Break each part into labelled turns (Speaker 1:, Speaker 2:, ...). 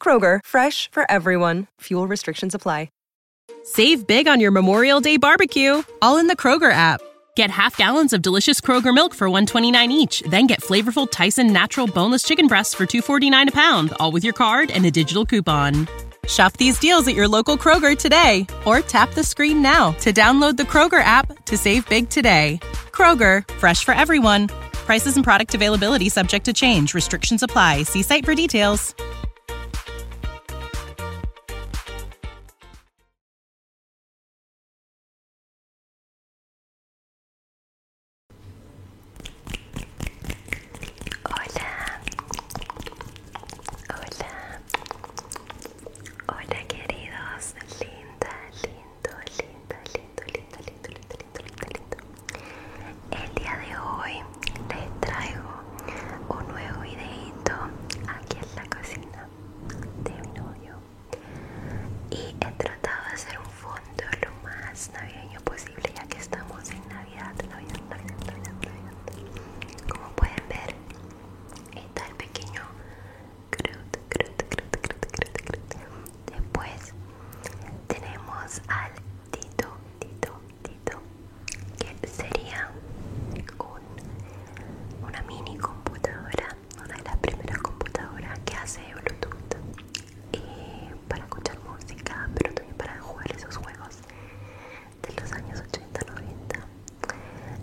Speaker 1: Kroger, fresh for everyone. Fuel restrictions apply. Save big on your Memorial Day barbecue, all in the Kroger app. Get half gallons of delicious Kroger milk for 129 each, then get flavorful Tyson natural boneless chicken breasts for 249 a pound, all with your card and a digital coupon. Shop these deals at your local Kroger today or tap the screen now to download the Kroger app to save big today. Kroger, fresh for everyone. Prices and product availability subject to change. Restrictions apply. See site for details. Hola. Hola.
Speaker 2: Hola, queridos. Linda, lindo, linda, El día de hoy les traigo un nuevo videito aquí en la cocina de mi novio. Y he tratado de hacer un fondo lo más navideño posible ya que estamos en Navidad, Como pueden ver, está el pequeño Después tenemos al Tito, Tito, Tito, que sería una mini computadora, una de las primeras computadoras que hace Bluetooth eh, para escuchar música, pero también para jugar esos juegos de los años 80-90.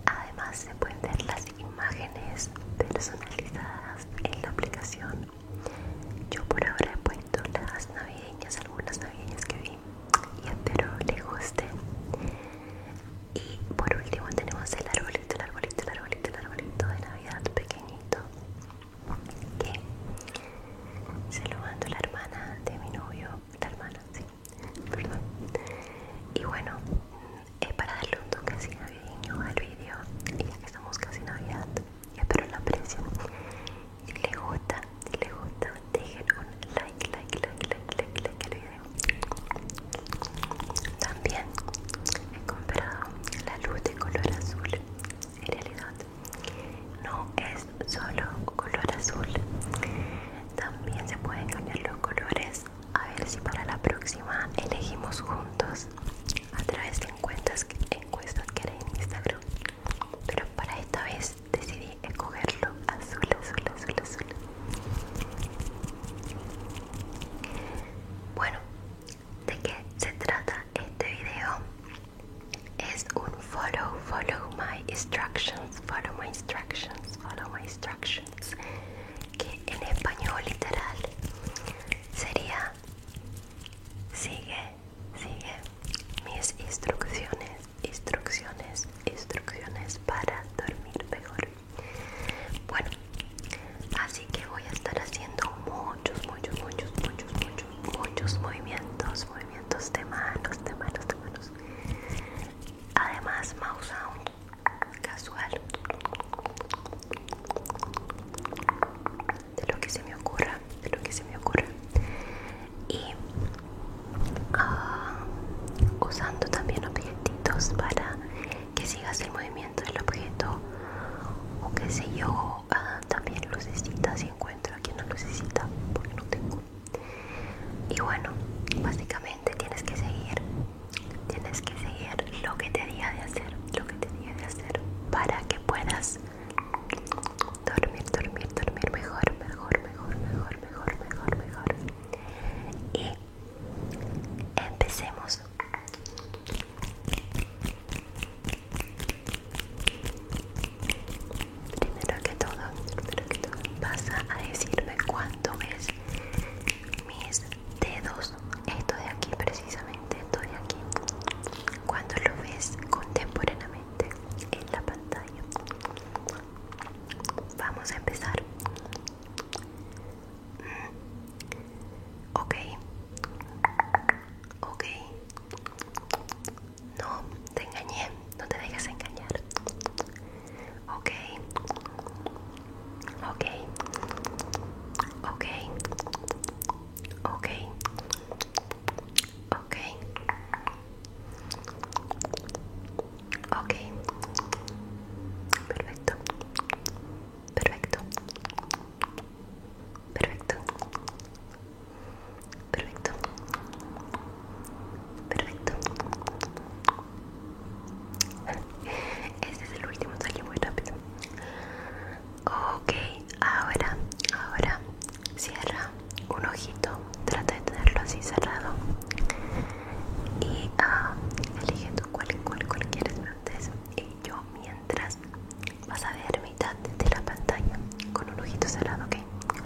Speaker 2: Además se pueden ver las imágenes personalizadas en la aplicación yo por ahora he puesto las navideñas, algunas navideñas que vi y espero les guste. Y por último tenemos el arbolito, el arbolito, el arbolito, el arbolito de Navidad pequeñito que se lo mando la hermana de mi novio, la hermana, sí, perdón. Y bueno, es para darle un toque así navideño al vídeo ya que estamos casi Navidad y espero lo aprecien. Si le gusta, si gusta, dejen un like, like, like, like, like, like video. También he comprado la luz de color azul. En realidad, no es solo color azul. También se pueden cambiar los colores. A ver si para la próxima elegimos juntos a través de encuestas, que haré en Instagram pero para esta vez decidí escogerlo azul, azul, azul, azul bueno, ¿de qué se trata este video? es un follow, follow my instructions follow my instructions, follow my instructions que en español literal sería sigue Sigue mis instrucciones, instrucciones, instrucciones para dormir mejor. Bueno, así que voy a estar haciendo muchos, muchos, muchos, muchos, muchos, muchos movimientos, movimientos de manos, de manos, de manos. Además, mouse sound casual de lo que se me ocurra, de lo que se me ocurra. Y ah, usando también objetitos para que sigas el movimiento del objeto o que sé yo, ah, también lucecitas si encuentro aquí una lucecita porque no tengo. Y bueno, básicamente tienes que seguir, tienes que seguir lo que te diga de hacer, lo que te diga de hacer para que puedas dormir, dormir, dormir mejor, mejor, mejor, mejor, mejor, mejor, mejor. Y empecemos. Primero que todo, primero que todo, pasa a decirme cuánto es mis dedos, esto de aquí precisamente todo estoy aquí cuando lo ves contemporáneamente en la pantalla vamos a empezar mm. ok ok no te engañé no te dejes engañar ok ok ok ok Ok. Ok. Perfecto. Perfecto. Perfecto. Perfecto. Perfecto. Este es el último, salió muy rápido. Ok, ahora, ahora cierra un ojito, trata de tenerlo así cerrado y ah, elige tú cuál, cuál, cuál quieres antes y yo mientras vas a ver mitad de la pantalla con un ojito cerrado, ok,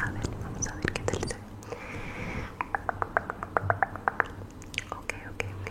Speaker 2: a ver, vamos a ver qué tal se Ok, ok, ok.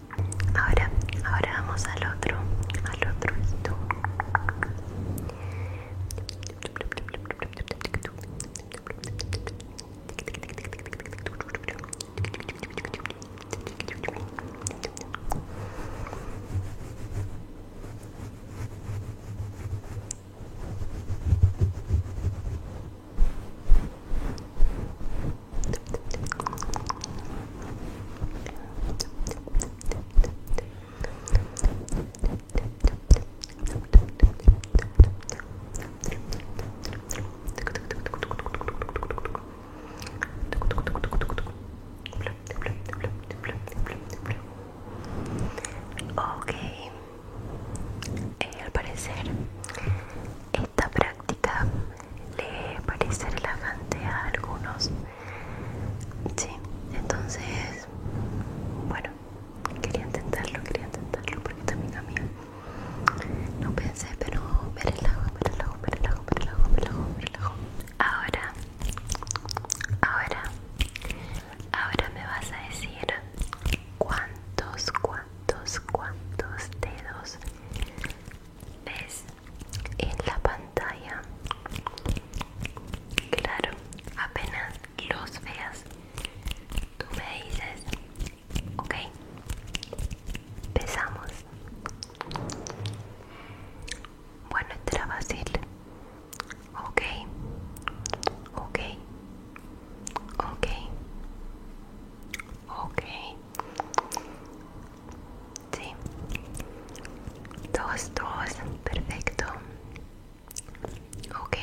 Speaker 2: Ahora, ahora vamos al otro, al otro y tú. Ok, eh, al parecer esta práctica le parece relajante a algunos. Sí, entonces, bueno, quería intentarlo, quería intentarlo porque también a mí no pensé, pero me relajo, me relajo, relajo, relajo, Ahora, ahora, ahora me vas a decir cuántos, cuántos, cuántos dedos ves en la pantalla claro apenas los veas tú me dices ok empezamos bueno entraba fácil ok ok ok ok Sí. Dos, dos. Perfecto. Ok.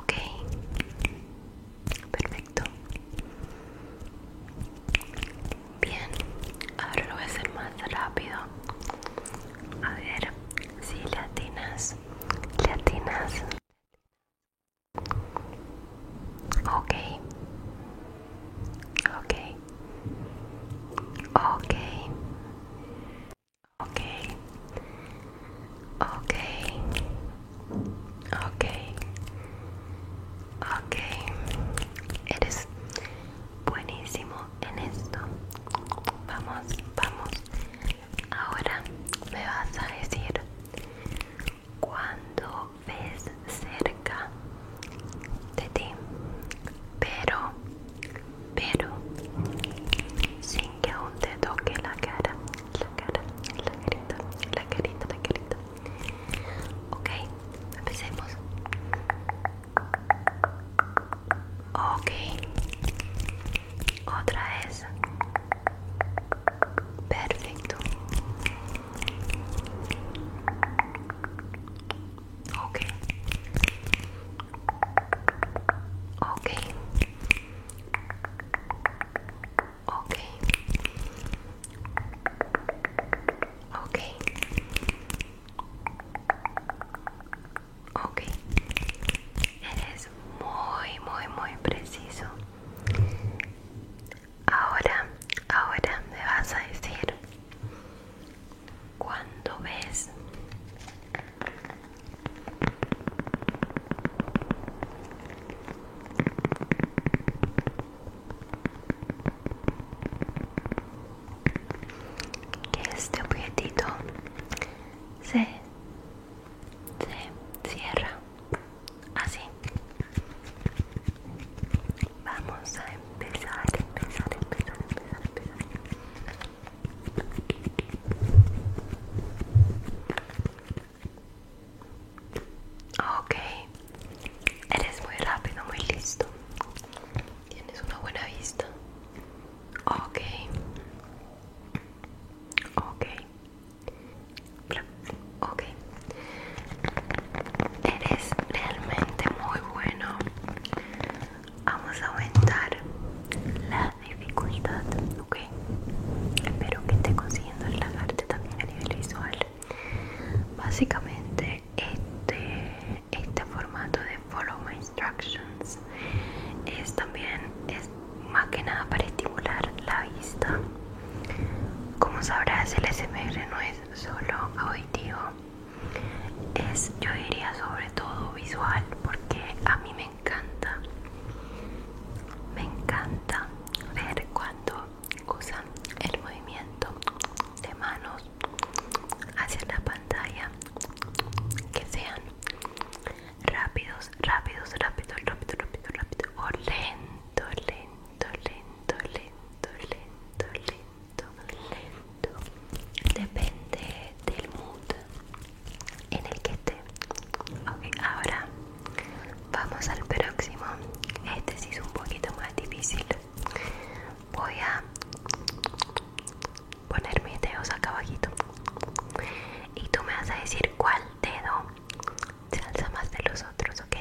Speaker 2: Ok. Perfecto. Bien. Ahora lo voy a hacer más rápido. A ver si latinas. Latinas. Okay. Ok. Ok. Ok. Ok. Ok. Ok. Eres buenísimo en esto. Vamos, vamos. Ahora me vas a decir cuando ves cerca de ti, pero, pero, sin que aún te toque la cara, la cara, la carita, la carita, la carita. Ok, empecemos. Ok, otra vez. Perfecto. Ok. Ok. Ok. Ok. Ok. Eres muy, muy, muy preciso. Ahora, ahora me vas a decir cuando ves que este objetito se, se cierra así Vamos a empezar, empezar, empezar, empezar, empezar. Ok, eres muy rápido, muy listo. Tienes una buena vista. Ok. Ok. Ok. Eres realmente muy bueno. Vamos a aumentar la dificultad, ¿ok? Espero que esté consiguiendo relajarte también a nivel visual. Básicamente, este, este formato de Follow My Instructions es también es más que nada para estimular la vista. Como sabrás, el SMR no es solo auditivo, es, yo diría, sobre todo visual, porque a mí me encanta, me encanta ver cuando usan el movimiento de manos hacia la pantalla, que sean rápidos, rápidos, rápidos, rápido, rápido, rápido, o lento, lento, lento, lento, lento lento, depende del mood en el que esté. Ok, ahora vamos al próximo. Este sí es un poquito más difícil. Voy a poner mis dedos acá abajo. y tú me vas a decir cuál dedo se alza más de los otros, ok?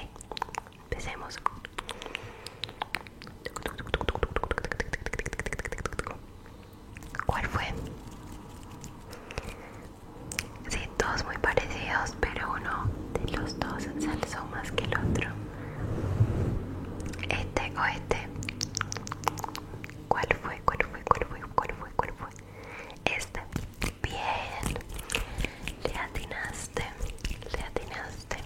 Speaker 2: Empecemos. ¿Cuál fue? Sí, todos muy parecidos, pero uno de los dos se alzó más que el otro. Este o este. ¿Cuál fue? ¿Cuál fue? ¿Cuál fue? ¿Cuál fue? ¿Cuál fue? Esta. Bien. Le atinaste. Le atinaste.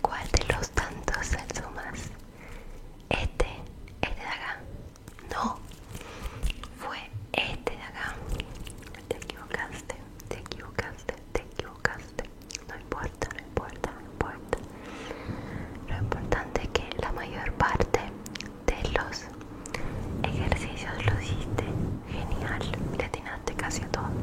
Speaker 2: ¿Cuál de los tantos más? Este, este de acá. No, fue este de acá. Te equivocaste, te equivocaste, te equivocaste. No importa, no importa, no importa. Lo importante es que la mayor parte de los ejercicios lo hiciste genial. Le atinaste casi todo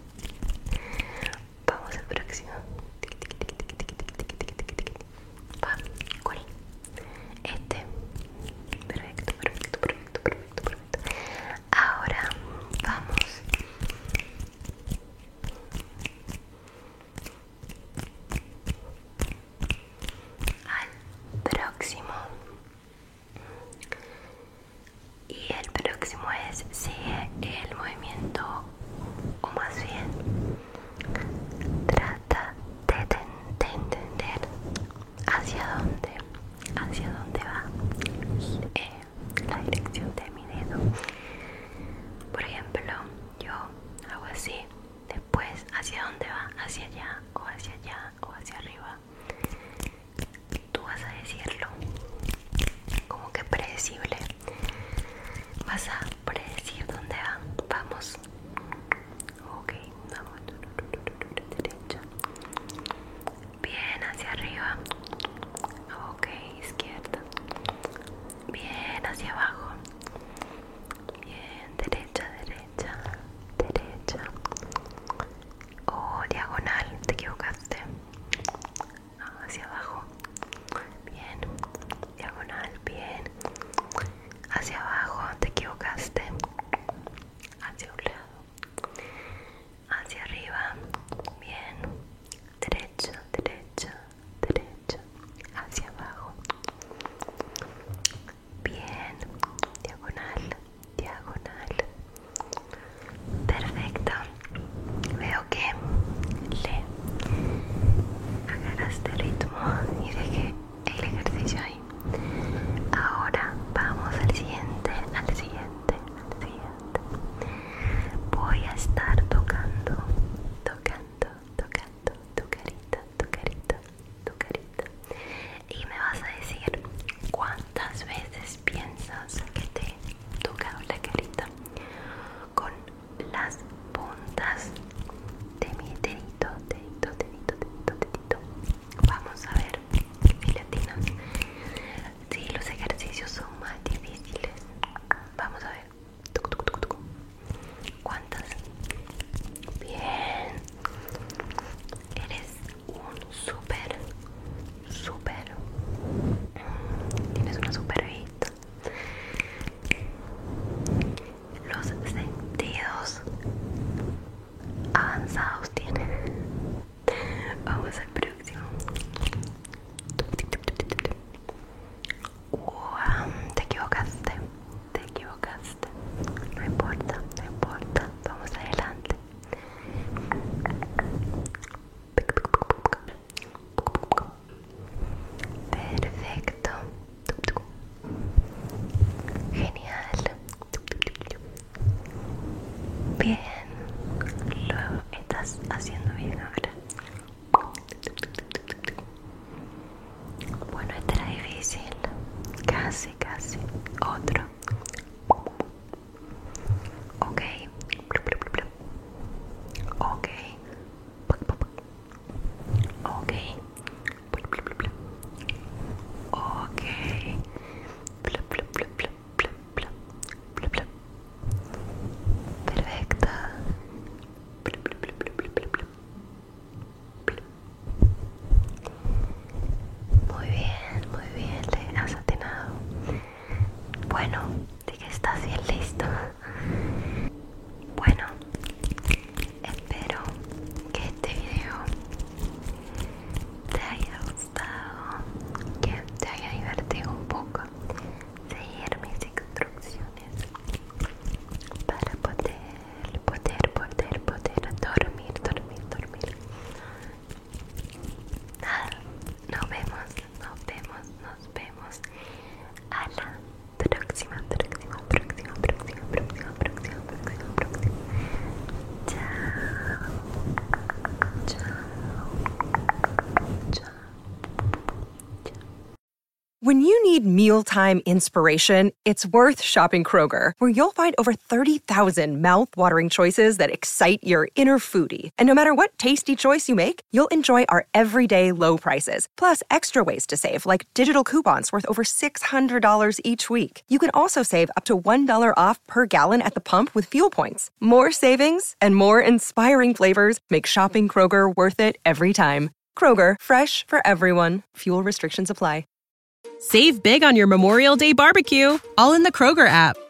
Speaker 2: Vamos al próximo. Este. Perfecto, perfecto, perfecto, perfecto, perfecto. Ahora vamos. Al próximo. Y el próximo es sigue el movimiento o más bien trata de, entender hacia dónde, hacia dónde va eh, la dirección de mi dedo. Por ejemplo, yo hago así, después hacia dónde va, hacia allá o hacia allá o hacia arriba tú vas a decirlo como que predecible vas a predecir dónde va vamos ok vamos derecha bien hacia arriba ok izquierda bien hacia abajo bien derecha derecha derecha o oh, diagonal te equivocaste Ah, hacia abajo bien diagonal bien hacia abajo te equivocaste hacia un lado hacia arriba bien derecho derecho derecho hacia abajo bien diagonal diagonal perfecto veo que le agarraste ritmo y dejé el ejercicio ahí ahora vamos al siguiente al siguiente voy a estar tocando tocando tocando tu carita tu carita tu carita y me vas a decir cuántas veces piensas que te tocado la carita con las puntas de mi dedito, dedito, dedito, dedito, dedito. Vamos a ver, filatinas. Si los ejercicios son más difíciles, vamos a ver. ¿Cuántas? Bien. Eres un súper, súper, mm, tienes una super vista. Los sentidos avanzados tienen. Vamos al próximo. te equivocaste, te equivocaste. No importa, no importa. Vamos adelante. Perfecto. Genial. Bien. luego estás haciendo bien ahora. Bueno, este era difícil. Casi, casi. Otro. Ok. Ok. Ok. Ok. Perfecto. Muy bien, muy bien, le has atinado. Bueno, de que estás bien listo. Bueno, espero que este video te haya gustado, que te haya divertido un poco. Seguir mis instrucciones para poder, poder, poder, poder dormir, dormir, dormir
Speaker 1: When you need mealtime inspiration, it's worth shopping Kroger, where you'll find over 30,000 mouth watering choices that excite your inner foodie. And no matter what tasty choice you make, you'll enjoy our everyday low prices, plus extra ways to save, like digital coupons worth over $600 each week. You can also save up to $1 off per gallon at the pump with fuel points. More savings and more inspiring flavors make shopping Kroger worth it every time. Kroger, fresh for everyone. Fuel restrictions apply. Save big on your Memorial Day barbecue, all in the Kroger app.